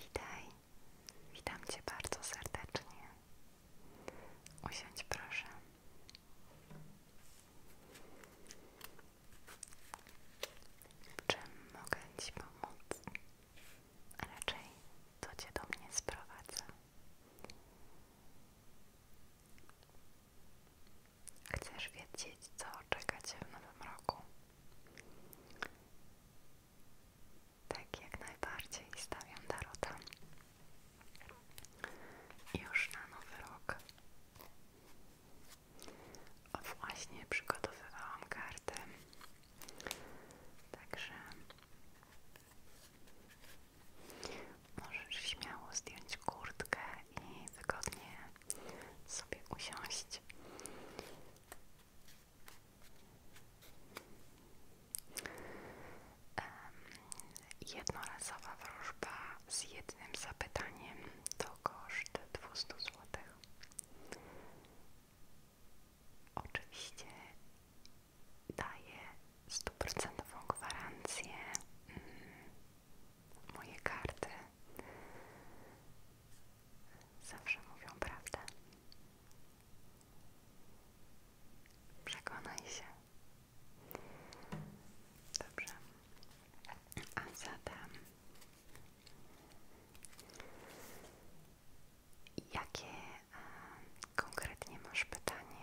Witaj, witam Cię bardzo serdecznie. Usiądź proszę. Czym mogę Ci pomóc? a raczej to Cię do mnie sprowadza. Chcesz wiedzieć, co czeka Cię w nowym roku? Tak jak najbardziej stawiam Darota. Już na nowy rok o właśnie przygotowywałam kartę. Także możesz śmiało zdjąć kurtkę i wygodnie sobie usiąść. Jednorazowa wróżba z jednym zapytaniem to koszt 200 zł. Oczywiście daję stuprocentową gwarancję mm, moje karty zawsze mówią prawdę. Przekonaj się. Dobrze. A zatem Jakie e, konkretnie masz pytanie,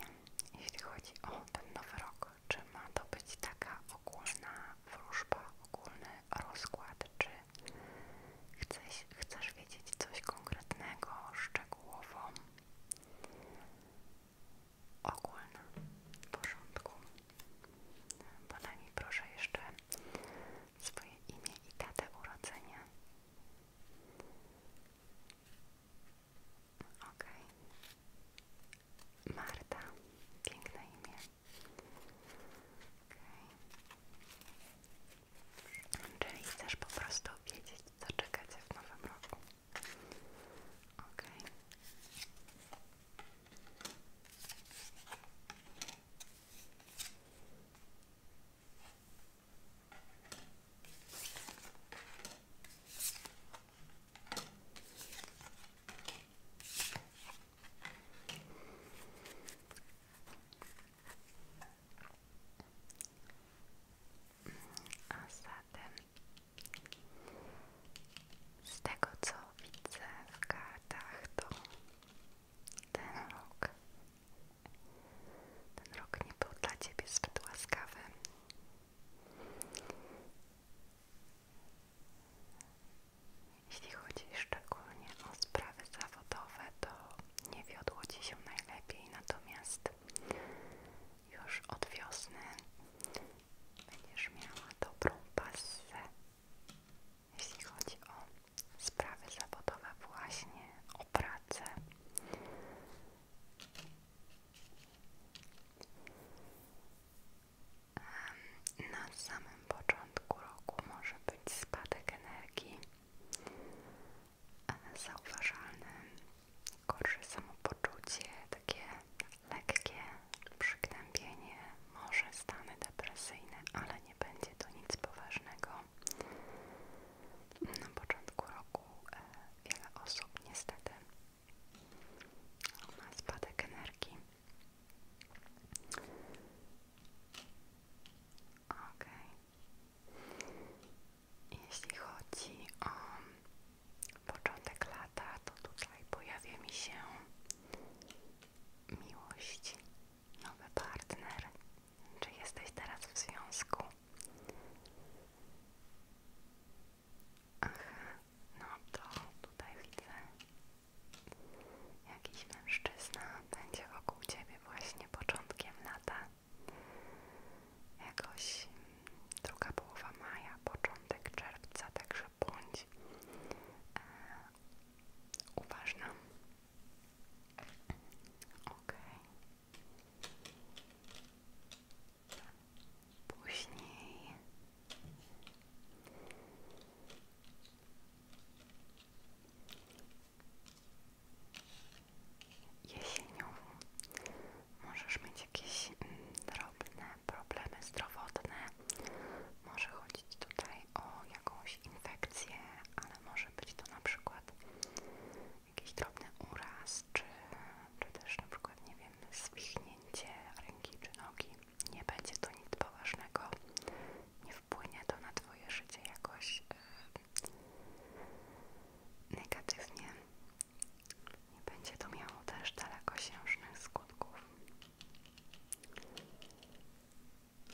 jeśli chodzi o ten nowy rok? Czy ma to być taka ogólna wróżba, ogólny rozkład, czy chcesz, chcesz wiedzieć coś konkretnego, szczegółowo? Ogólna, w porządku. Podaj mi proszę jeszcze swoje imię i urodzenia. Ok. Marta. Piękne imię. Okay. Czyli chcesz po prostu wiedzieć, co czeka Cię w nowym roku. Ok. A zatem z tego co widzę w kartach to ten rok ten rok nie był dla Ciebie zbyt łaskawy jeśli chodzi szczególnie o sprawy zawodowe, to nie wiodło Ci się najlepiej, natomiast już od wiosny będziesz miała dobrą pasję, jeśli chodzi o sprawy zawodowe właśnie, o pracę. Na samym początku roku może być spadek energii zauważalny, gorsze samopoczucie, takie lekkie przygnębienie, może stany depresyjne, ale nie będzie to nic poważnego. Na początku roku e, wiele osób niestety ma spadek energii. Okej. Jeśli chodzi o początek lata, to tutaj pojawia mi się miłość nowy partner? Czy jesteś teraz w związku? Aha, no to tutaj widzę jakiś mężczyzna będzie wokół ciebie właśnie początkiem lata. Jakoś mm, druga połowa maja, początek czerwca, także bądź e, uważna Okej. Okay. Później jesienią możesz mieć jakieś mm, drobne problemy zdrowotne. Może chodzić tutaj o jakąś infekcję, ale może być to na przykład jakiś drobny uraz, czy, czy też na przykład, nie wiem, zwichnięcie ręki czy nogi. Nie będzie to nic poważnego, nie wpłynie to na Twoje życie jakoś e, negatywnie. Nie będzie to miało też dalekosiężnych skutków.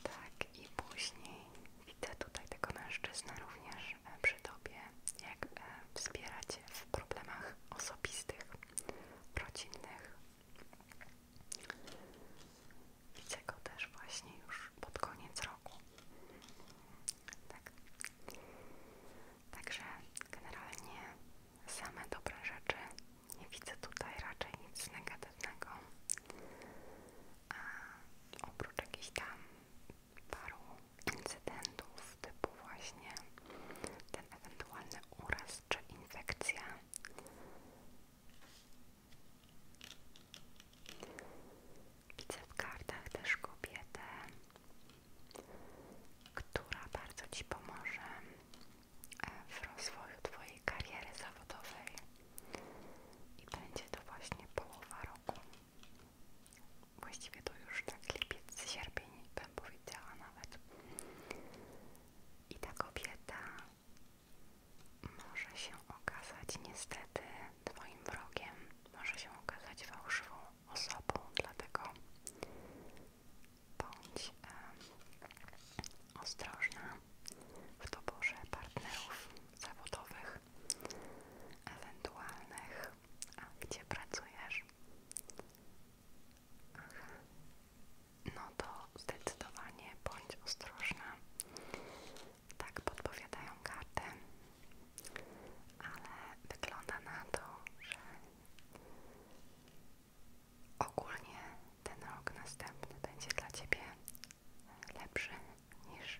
Tak, i później widzę tutaj tego mężczyznę również e, przy tobie, jak e, wspieracie w problemach osobistych, rodzinnych. Widzę go też właśnie już pod koniec roku. Tak. Także generalnie same dobre rzeczy nie widzę tutaj raczej nic negatywnego. A oprócz jakichś tam paru incydentów, typu właśnie ten ewentualny uraz czy infekcja. Widzę w kartach też kobietę, która bardzo Ci pomoże w rozwoju Twojej kariery zawodowej i będzie to właśnie połowa roku. Właściwie to już tak lipiec, sierpień bym powiedziała nawet. I ta kobieta może się okazać niestety Twoim wrogiem, może się okazać fałszywą osobą, dlatego bądź ostrożna w doborze partnerów zawodowych, ewentualnych. A gdzie pracujesz? No to zdecydowanie bądź ostrożna. Tak podpowiadają karty, ale wygląda na to, że Ogólnie ten rok następny będzie dla Ciebie lepszy niż,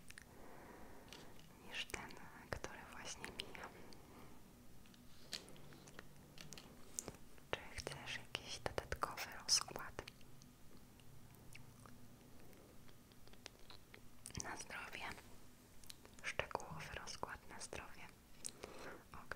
niż ten, który właśnie mija. Czy chcesz jakiś dodatkowy rozkład? Na zdrowie. Szczegółowy rozkład na zdrowie. Ok.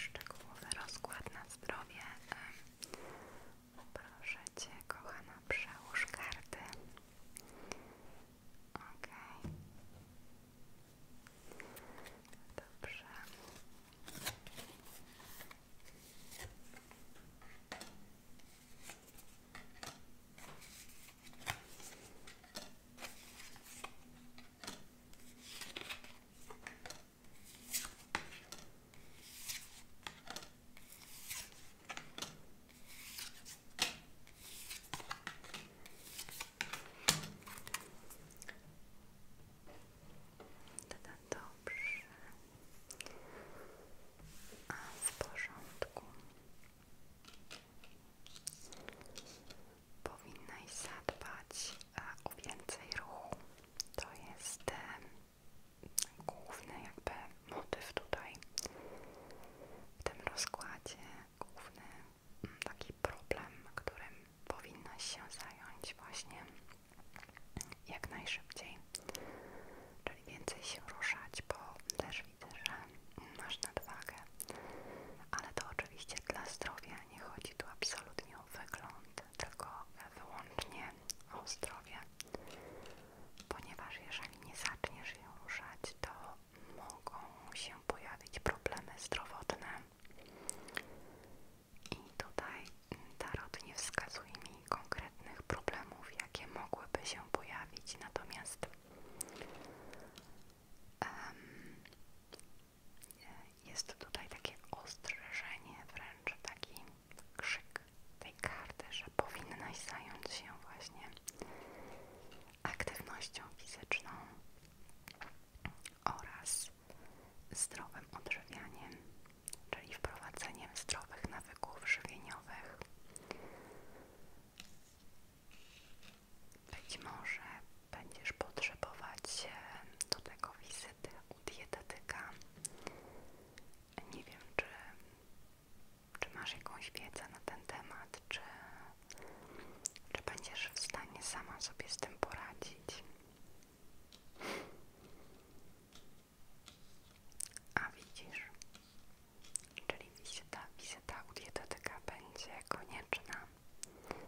Szczegółowy rozkład na zdrowie. Proszę Cię, kochana, przełóż karty. Okej. Dobrze. Dobrze. A w porządku. Powinnaś zadbać e, o więcej ruchu. To jest e, główny jakby motyw tutaj w tym rozkładzie, główny mm, taki problem, którym powinnaś się zająć właśnie jak najszybciej. Czyli więcej się ruszać, bo też że masz nadwagę, ale to oczywiście dla zdrowia nie chodzi tu absolutnie o wygląd, tylko wyłącznie o zdrowie, ponieważ jeżeli nie zaczniesz je ruszać, to mogą się pojawić problemy zdrowotne. I tutaj Tarot nie wskazuje mi konkretnych problemów, jakie mogłyby się pojawić, natomiast jest tutaj takie ostrzeżenie, wręcz taki krzyk tej karty, że powinnaś zająć się właśnie aktywnością fizyczną oraz zdrowym odżywianiem, czyli wprowadzeniem zdrowych nawyków żywieniowych. Być może będziesz potrzebować do tego wizyty u dietetyka. Nie wiem, czy, czy masz jakąś wiedzę na ten temat, czy, czy będziesz w stanie sama sobie z tym poradzić. A widzisz, czyli wizyta, wizyta u dietetyka będzie konieczna. Mm,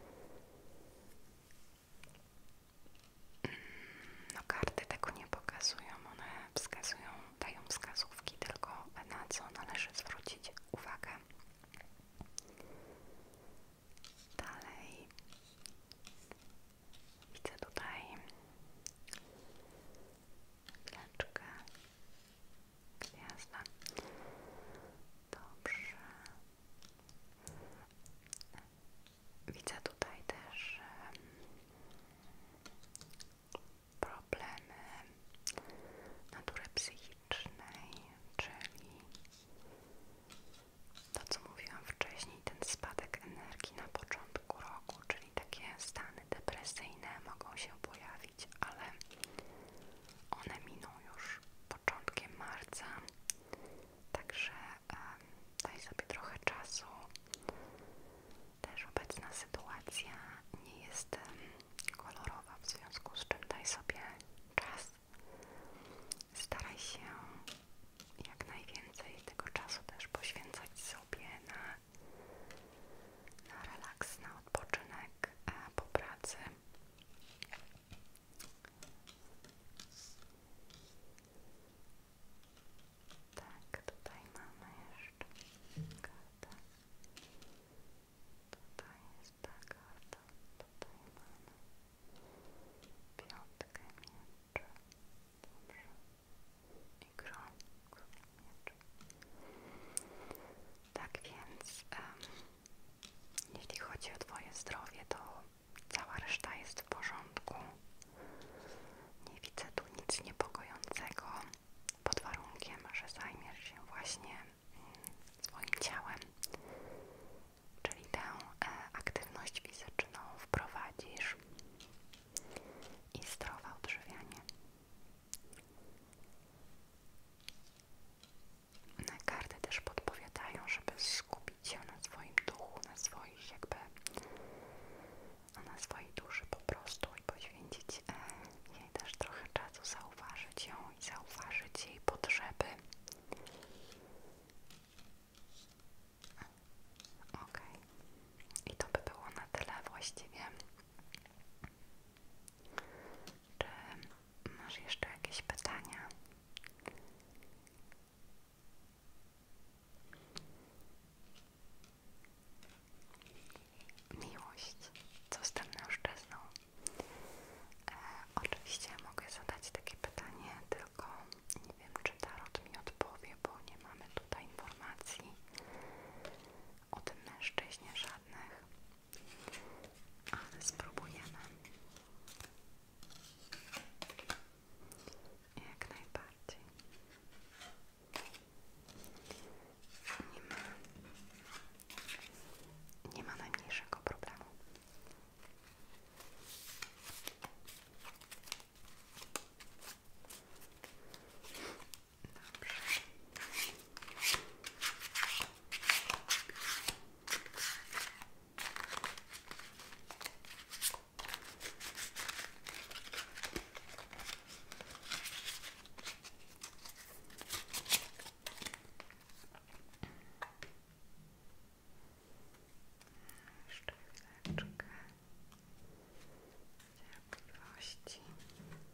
no karty tego nie pokazują, one wskazują, dają wskazówki tylko na co należy zwrócić uwagę. Dalej widzę tutaj chwileczkę Gwiazda. Dobrze. Widzę tutaj też problemy natury psychicznej, czyli to, co mówiłam wcześniej, ten spadek energii na początku roku, czyli takie stany depresyjne mogą się pojawić ale one miną już początkiem marca, także daj sobie trochę czasu. Też obecna sytuacja nie jest kolorowa, w związku z czym daj sobie czas. Staraj się jak najwięcej tego czasu też poświęcać sobie na na relaks, na odpoczynek e, po pracy. Tak, tutaj mamy jeszcze kartę. Tutaj jest ta karta, tutaj mamy piątkę mieczy. Dobrze czyli krąg mieczy. Tak więc, jeśli chodzi o Twoje zdrowie, to cała reszta jest w porządku. Nie widzę tu nic niepokojącego, pod warunkiem, że zajmiesz się właśnie mm, swoim ciałem, czyli tę e, aktywność fizyczną wprowadzisz i zdrowe odżywianie. Na karty też podpowiadają, żeby skupić się na swoim duchu, na swoich jakby na swojej duszy po prostu i poświęcić e, jej też trochę czasu, zauważyć ją i zauważyć jej potrzeby. OK. I to by było na tyle właściwie. Czy masz jeszcze jakieś pytania? Miłość, co z tym mężczyzną? E, oczywiście mogę zadać takie pytanie, tylko nie wiem, czy Tarot mi odpowie, bo nie mamy tutaj informacji. Od tym mężczyźnie żadnych, ale spróbujemy. Jak najbardziej. Nie ma, nie ma najmniejszego problemu. Jeszcze chwileczkę cierpliwości. Dobrze.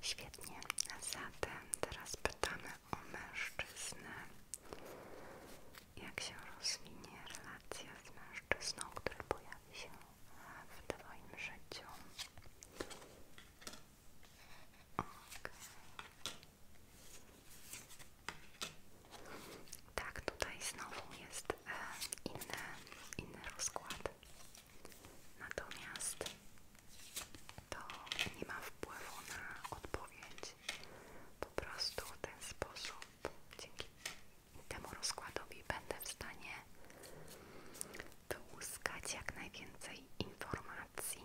Świetnie, a zatem teraz pytamy o mężczyznę. Jak się rozwinie relacja z mężczyzną, który się w Twoim życiu? Tak, tutaj znowu jest e, inny, rozkład. Natomiast to nie ma wpływu na odpowiedź. Po prostu w ten sposób, dzięki temu rozkładowi, będę w stanie wyłuskać jak najwięcej informacji.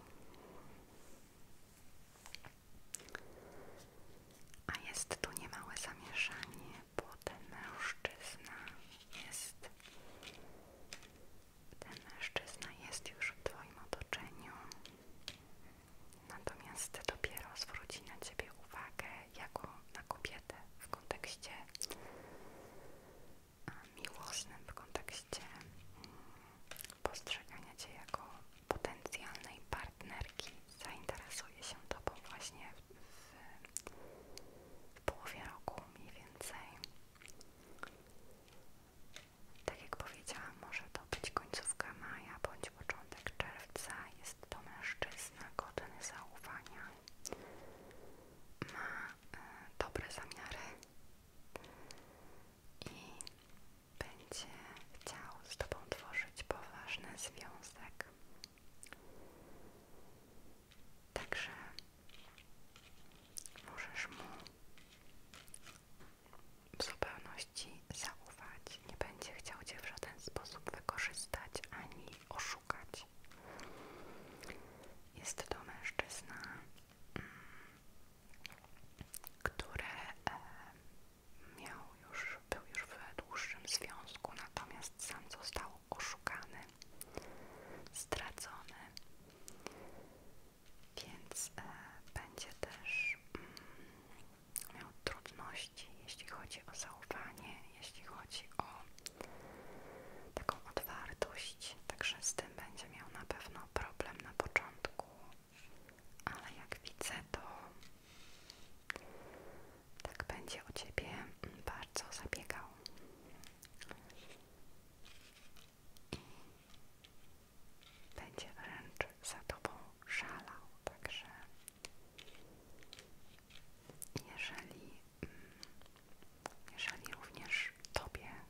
A jest tu niemałe zamieszanie, bo ten mężczyzna jest. Ten mężczyzna jest już w Twoim otoczeniu. Natomiast dopiero zwróci na Ciebie uwagę jako na kobietę w kontekście miłosnym w kontekście mm, postrzegania Cię jako potencjalnej partnerki zainteresuje się Tobą właśnie w, połowie roku mniej więcej. Tak jak powiedziałam, może to być końcówka maja bądź początek czerwca. Jest to mężczyzna godny zaufania. Ma e, dobre zamiary i będzie chciał z Tobą tworzyć poważny związek. Także możesz mu w zupełności zaufać. Nie będzie chciał Cię w żaden sposób wykorzystać ani oszukać. Jest to mężczyzna mm, który miał już, był już w dłuższym związku, natomiast sam został oszukany, stracony, więc e, będzie też mm, miał trudności, jeśli chodzi o zaufanie, jeśli chodzi o taką otwartość także z tym będzie miał na pewno problem na początku, ale jak widzę, to tak będzie o Ciebie bardzo zabiegał. I będzie wręcz za Tobą szalał, także jeżeli, mm, jeżeli również Tobie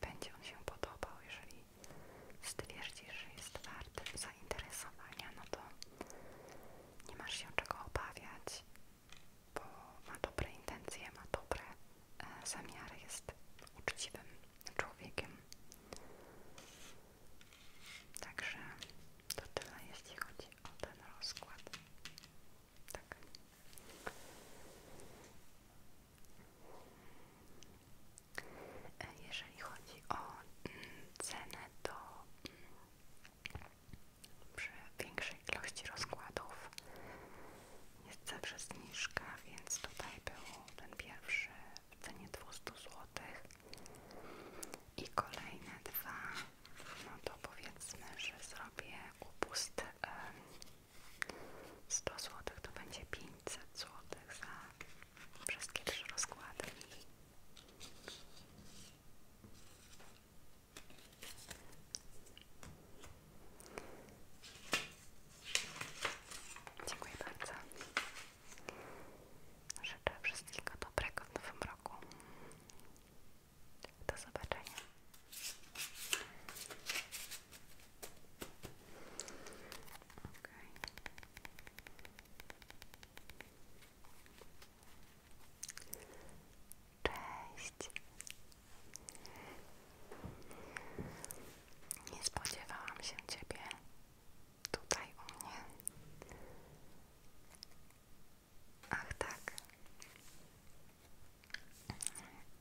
będzie on się podobał. Jeżeli stwierdzisz, że jest wart zainteresowania, no to nie masz się czego obawiać, bo ma dobre intencje, ma dobre e, zamiary, jest uczciwym człowiekiem. Także to tyle, jeśli chodzi o ten rozkład. Tak. E, jeżeli chodzi o mm, cenę, to mm, przy większej ilości rozkładów jest zawsze zniżka, więc tutaj był ten pierwszy w cenie 200 zł i kolejne dwa, no to powiedzmy, że zrobię upust 100 zł to będzie 500 złotych za wszystkie trzy rozkłady. Dziękuję bardzo. Życzę wszystkiego dobrego w nowym roku. Do zobaczenia. Cześć. Nie spodziewałam się ciebie tutaj u mnie. Ach tak.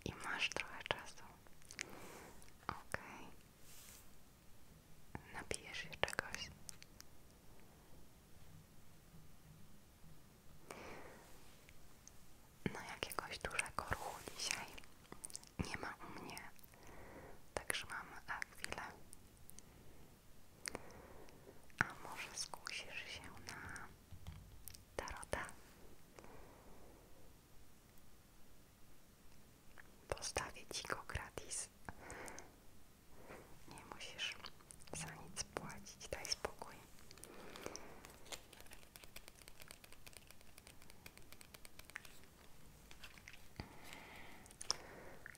I masz trochę czasu. OK. Okay. się czegoś. No jakiegoś dużego ruchu dzisiaj nie ma u mnie, także mam chwilę. A może skusisz się na tarota? Postawię ci go gratis. Nie musisz za nic płacić, daj spokój.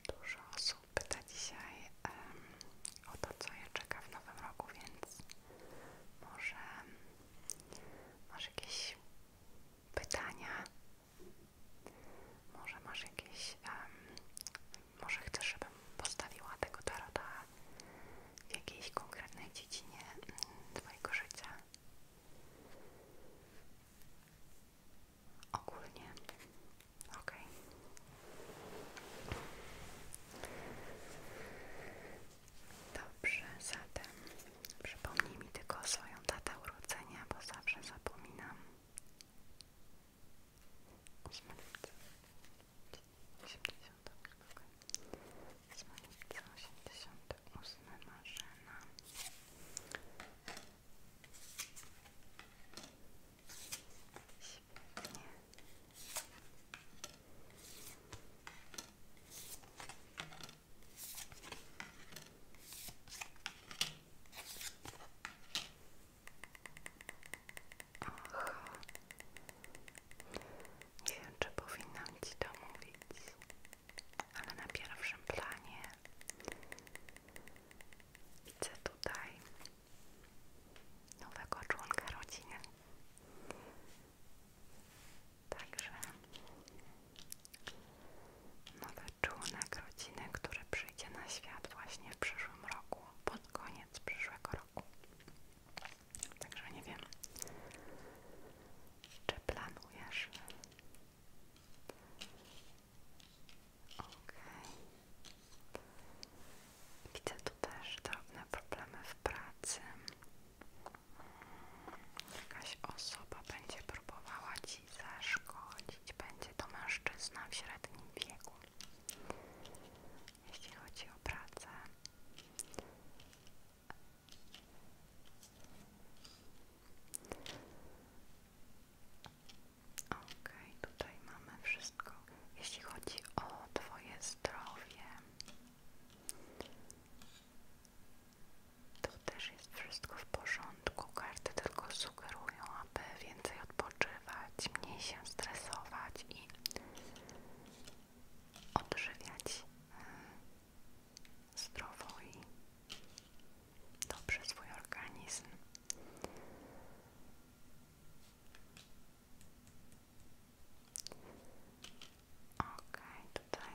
Dużo osób pyta dzisiaj o to, co je czeka w nowym roku, więc Masz jakieś pytania? Może masz jakieś. może chcesz, żebym postawiła tego tarota w jakiejś konkretnej dziedzinie mm, Twojego życia? Ogólnie. Okej. Dobrze, zatem przypomnij mi tylko swoją datę urodzenia, bo zawsze zapominam. 8 lipca 88 Marzena. Świetnie. Aha. Nie wiem, czy powinnam Ci to mówić, ale na pierwszym planie widzę tutaj nowego członka rodziny. Także nowy członek rodziny, który przyjdzie na świat właśnie w przyszłym roku, pod koniec przyszłego roku. Także nie wiem, czy planujesz. Okej. Okay. Widzę tu też drobne problemy w pracy. Jakaś osoba będzie próbowała ci zaszkodzić, będzie to mężczyzna w średnim wieku. Jeśli chodzi o pracę, ok, tutaj mamy wszystko. Jeśli chodzi o Twoje zdrowie, to też jest wszystko w porządku. Karty tylko sugerują, aby więcej odpoczywać, mniej się stresować i odżywiać e, zdrowo i dobrze swój organizm. Okej, tutaj.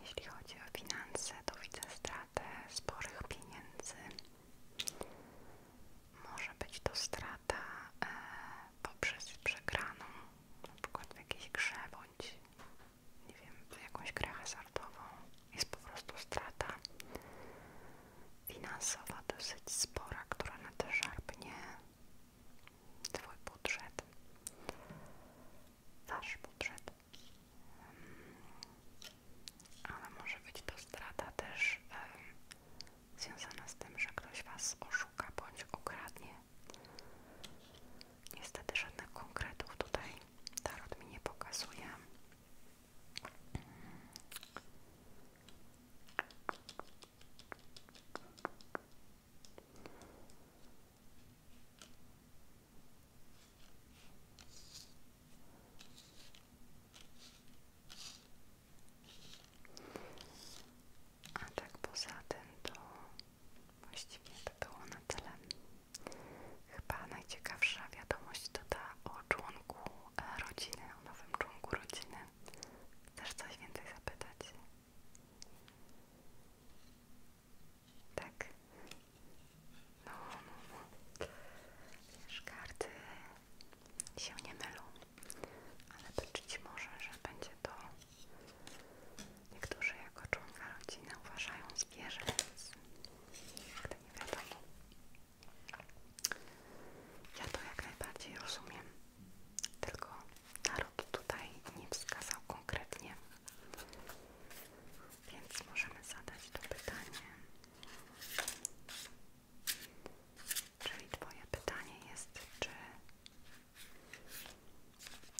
Jeśli chodzi o finanse, to widzę stratę sporych pieniędzy. Może być to strata e, poprzez przegraną, na przykład w jakiejś grze nie wiem, jakąś grę hazardową. Jest po prostu strata finansowa dosyć spora, która na nie Twój budżet. Wasz budżet. Hmm. Ale może być to strata też związana z tym, że ktoś Was oszuka bądź okradnie. Niestety żadnych konkretów tutaj Tarot mi nie pokazuje. A tak poza tym to Właściwie to było na tyle. Chyba najciekawsza wiadomość to ta o członku e, rodziny, o nowym członku rodziny. Chcesz coś więcej zapytać? Tak. No, no, no. Wiesz, karty się nie mylą, ale być może, że będzie to Niektórzy jako członka rodziny uważają zwierzę, więc nie wiadomo. Ja to jak najbardziej rozumiem, tylko naród tutaj nie wskazał konkretnie, więc możemy zadać to pytanie. Czyli Twoje pytanie jest, czy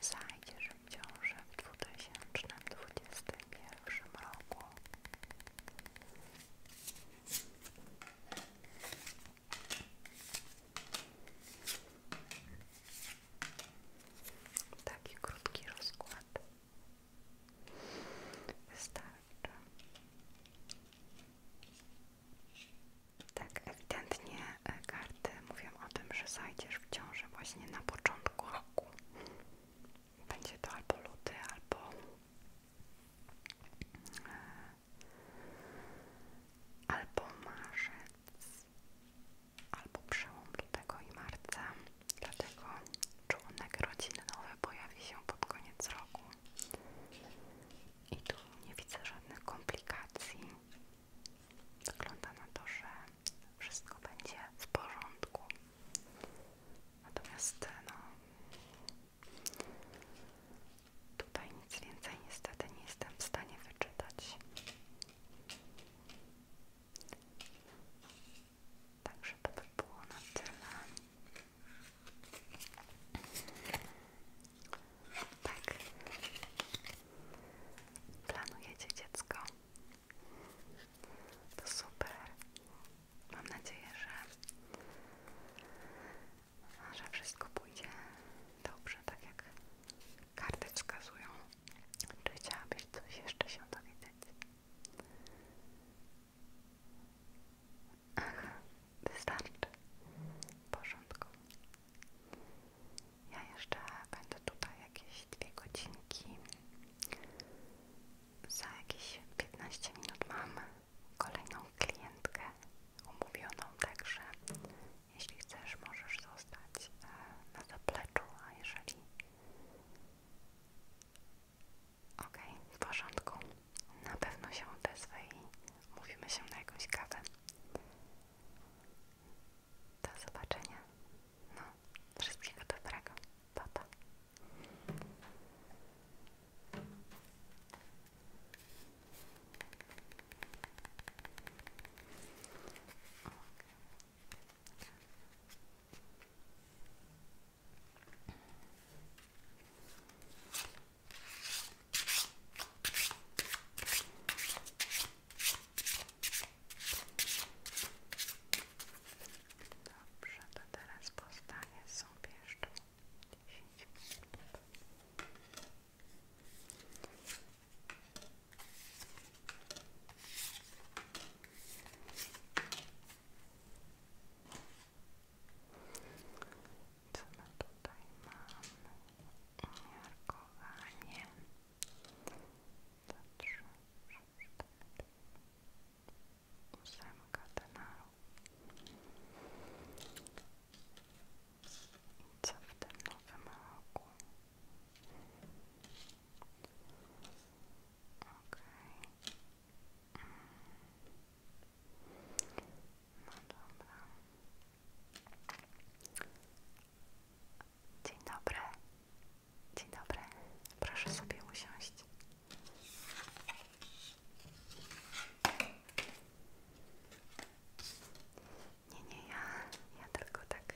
Przyznajcie, że w ciąży w 2021 roku Taki krótki rozkład wystarczy. Tak, ewidentnie E, karty mówią o tym, że zajdziesz w ciąży właśnie na początku roku. Będzie to albo luty, albo e, albo marzec, albo przełom lutego i marca. Dlatego członek rodzinnowy pojawi się pod koniec roku. I tu nie widzę żadnych komplikacji. Wygląda na to, że wszystko będzie w porządku. Natomiast no, tutaj nic więcej niestety nie jestem w stanie wyczytać. Także to było na tyle. Tak planujecie dziecko. To super. Mam nadzieję, że, że wszystko pójdzie dobrze, tak jak karty wskazują. Czy chciałabyś coś jeszcze się dowiedzieć? Aha, wystarczy. W porządku. Ja jeszcze będę tutaj jakieś dwie godzinki. Za jakieś 15 minut mam kolejną klientkę umówioną, także jeśli chcesz, możesz zostać e, na zapleczu, a jeżeli okej, w porządku, na pewno się odezwę i mówimy się na jakąś kawę. Do zobaczenia. No, wszystkiego dobrego. Pa, pa. Dobrze, to teraz powstanie są jeszcze 10 Co tutaj mamy? Umiarkowanie dwa, trzy, cztery, ósemka w tym roku? Okej. Okay. No Dzień dobry. Dzień dobry. Proszę sobie usiąść. Nie, nie, ja, ja tylko tak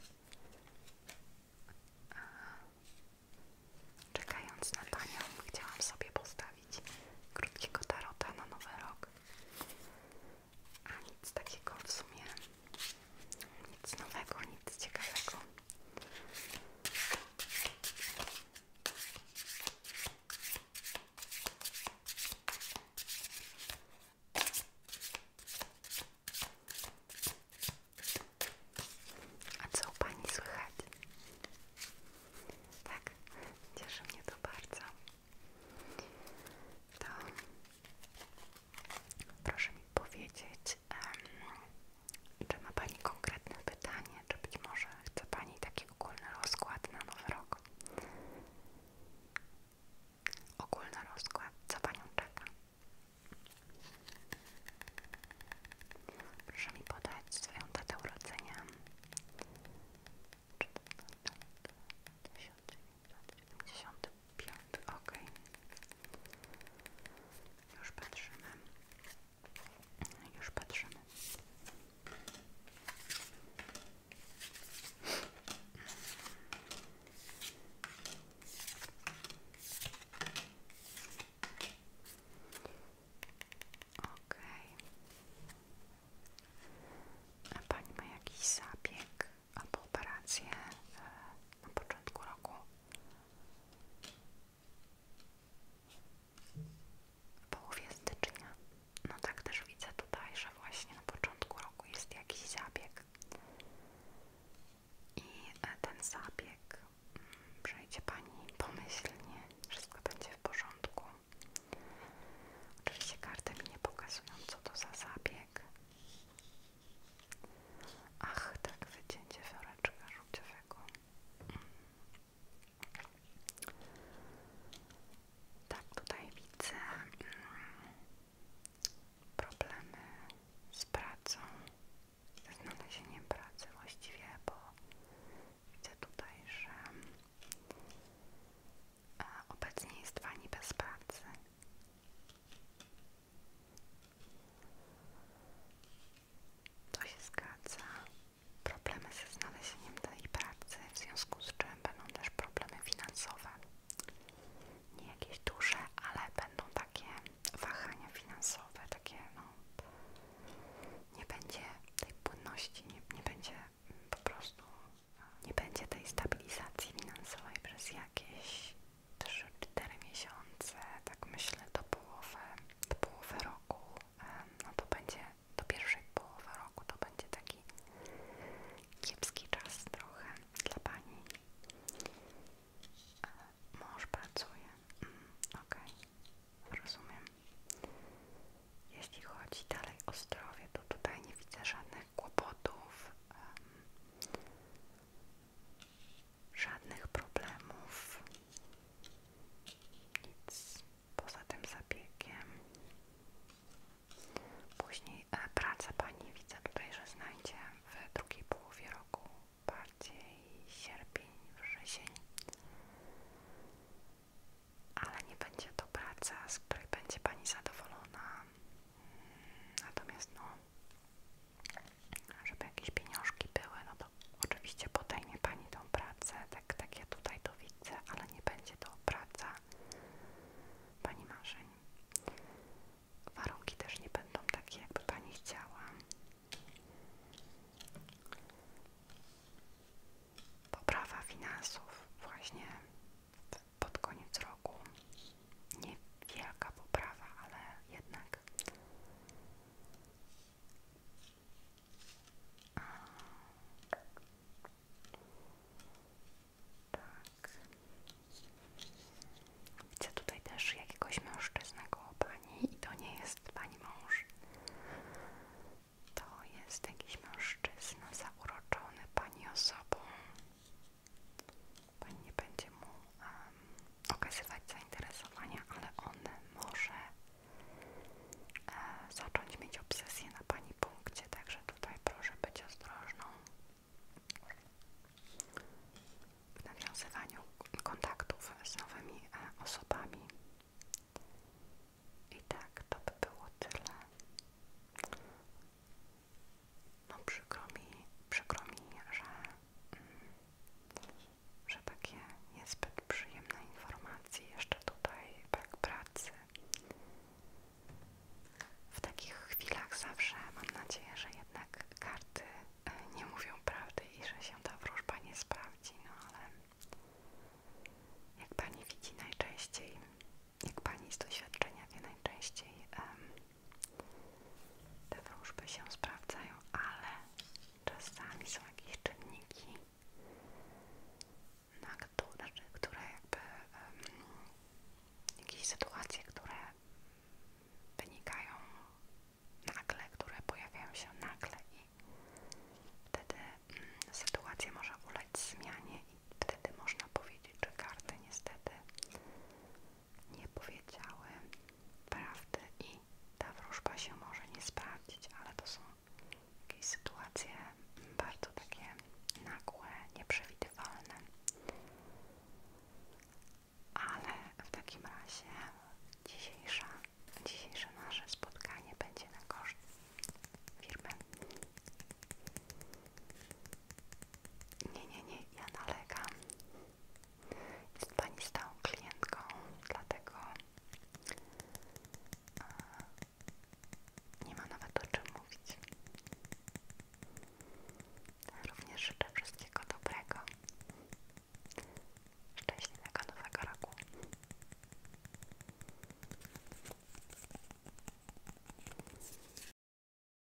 A, czekając na Tanią chciałam sobie postawić krótkiego tarota na Nowy Rok a nic takiego w sumie, nic nowego, nic ciekawego. A co u Pani słychać? Tak, cieszy mnie to bardzo. To Proszę mi powiedzieć, czy ma Pani konkretne pytanie, czy być może chce Pani taki ogólny rozkład na nowy rok? Ogólny rozkład, co Panią czeka? Proszę mi podać swoją datę urodzenia. 2009. 75, ok. Już patrzymy. Już patrzymy. Okej. A pani ma jakiś zabieg? A po operację e, na początku roku. W połowie stycznia. No tak też widzę tutaj, że właśnie na początku roku jest jakiś zabieg. I e, ten zabieg mm, przejdzie Pani pomyślnie, wszystko będzie w porządku. Oczywiście karty mi nie pokazują, co to za zabieg. Ach, tak, wycięcie woreczka żółciowego. Tak, tutaj widzę mm, problemy z pracą, ze znalezieniem pracy właściwie, bo widzę tutaj, że e, obecnie jest pani bez pracy to się zgadza. Problemy ze znalezieniem tej pracy, w związku z czym będą też problemy finansowe. Nie jakieś duże, ale będą takie wahania finansowe, takie no. Nie będzie tej płynności, nie, nie będzie mm, po prostu, nie będzie tej stabilizacji finansowej przez jakieś 3-4 miesiące, tak myślę do połowy, do połowy roku, no to będzie, do pierwszej połowy roku to będzie taki kiepski czas trochę dla Pani. E, mąż pracuje, mm, okej, rozumiem. Jeśli chodzi dalej o zdrowie, to tutaj nie widzę żadnych kłopotów. Żadnych problemów. Nic poza tym zabiegiem. Później e, praca pani widzę tutaj, że znajdzie w drugiej połowie roku bardziej sierpień, wrzesień. Ale nie będzie to praca, z której będzie pani zadowolona. Mm, natomiast no, żeby jakieś pieniążki były, no to oczywiście podejmie Pani tą pracę, tak, tak ja tutaj to widzę, ale nie będzie to praca Pani marzeń. Warunki też nie będą takie, jakby Pani chciała. Poprawa finansów, właśnie pod koniec roku. Niewielka poprawa, ale jednak. A... Tak. Widzę tutaj też jakiegoś mężczyznę koło pani i to nie jest pani mąż. To jest jakiś mężczyzna zauroczony pani osobą. Pani nie będzie mu okazywać zainteresowania, ale on może e, zacząć mieć obsesję na Pani punkcie, także tutaj proszę być ostrożną w nawiązywaniu kontaktów z nowymi e, osobami. I tak, to by było tyle no przykro mi, że, mm, że takie niezbyt przyjemne informacje jeszcze tutaj, brak pracy. W takich chwilach zawsze mam nadzieję, że jednak karty e, nie mówią prawdy i że się ta wróżba nie sprawdzi, no ale jak Pani widzi najczęściej, jak Pani z doświadczenia wie najczęściej te wróżby się sprawdzają, ale czasami są jakieś czynniki, na które, które jakby jakieś sytuacje, które wynikają nagle, które pojawiają się nagle i wtedy mm, sytuacja może ulec zmianie i wtedy można powiedzieć, że karty niestety nie powiedziały prawdy i ta wróżba się może nie sprawdzić, ale to są jakieś sytuacje bardzo takie nagłe, nieprzewidywalne. Ale w takim razie dzisiejsza, dzisiejsze nasze spotkanie będzie na koszt firmy. Nie, nie, nie, ja nalegam. Jest Pani stałą klientką, dlatego e, nie ma nawet o czym mówić. Również życzę wszystkiego dobrego. Szczęśliwego nowego roku.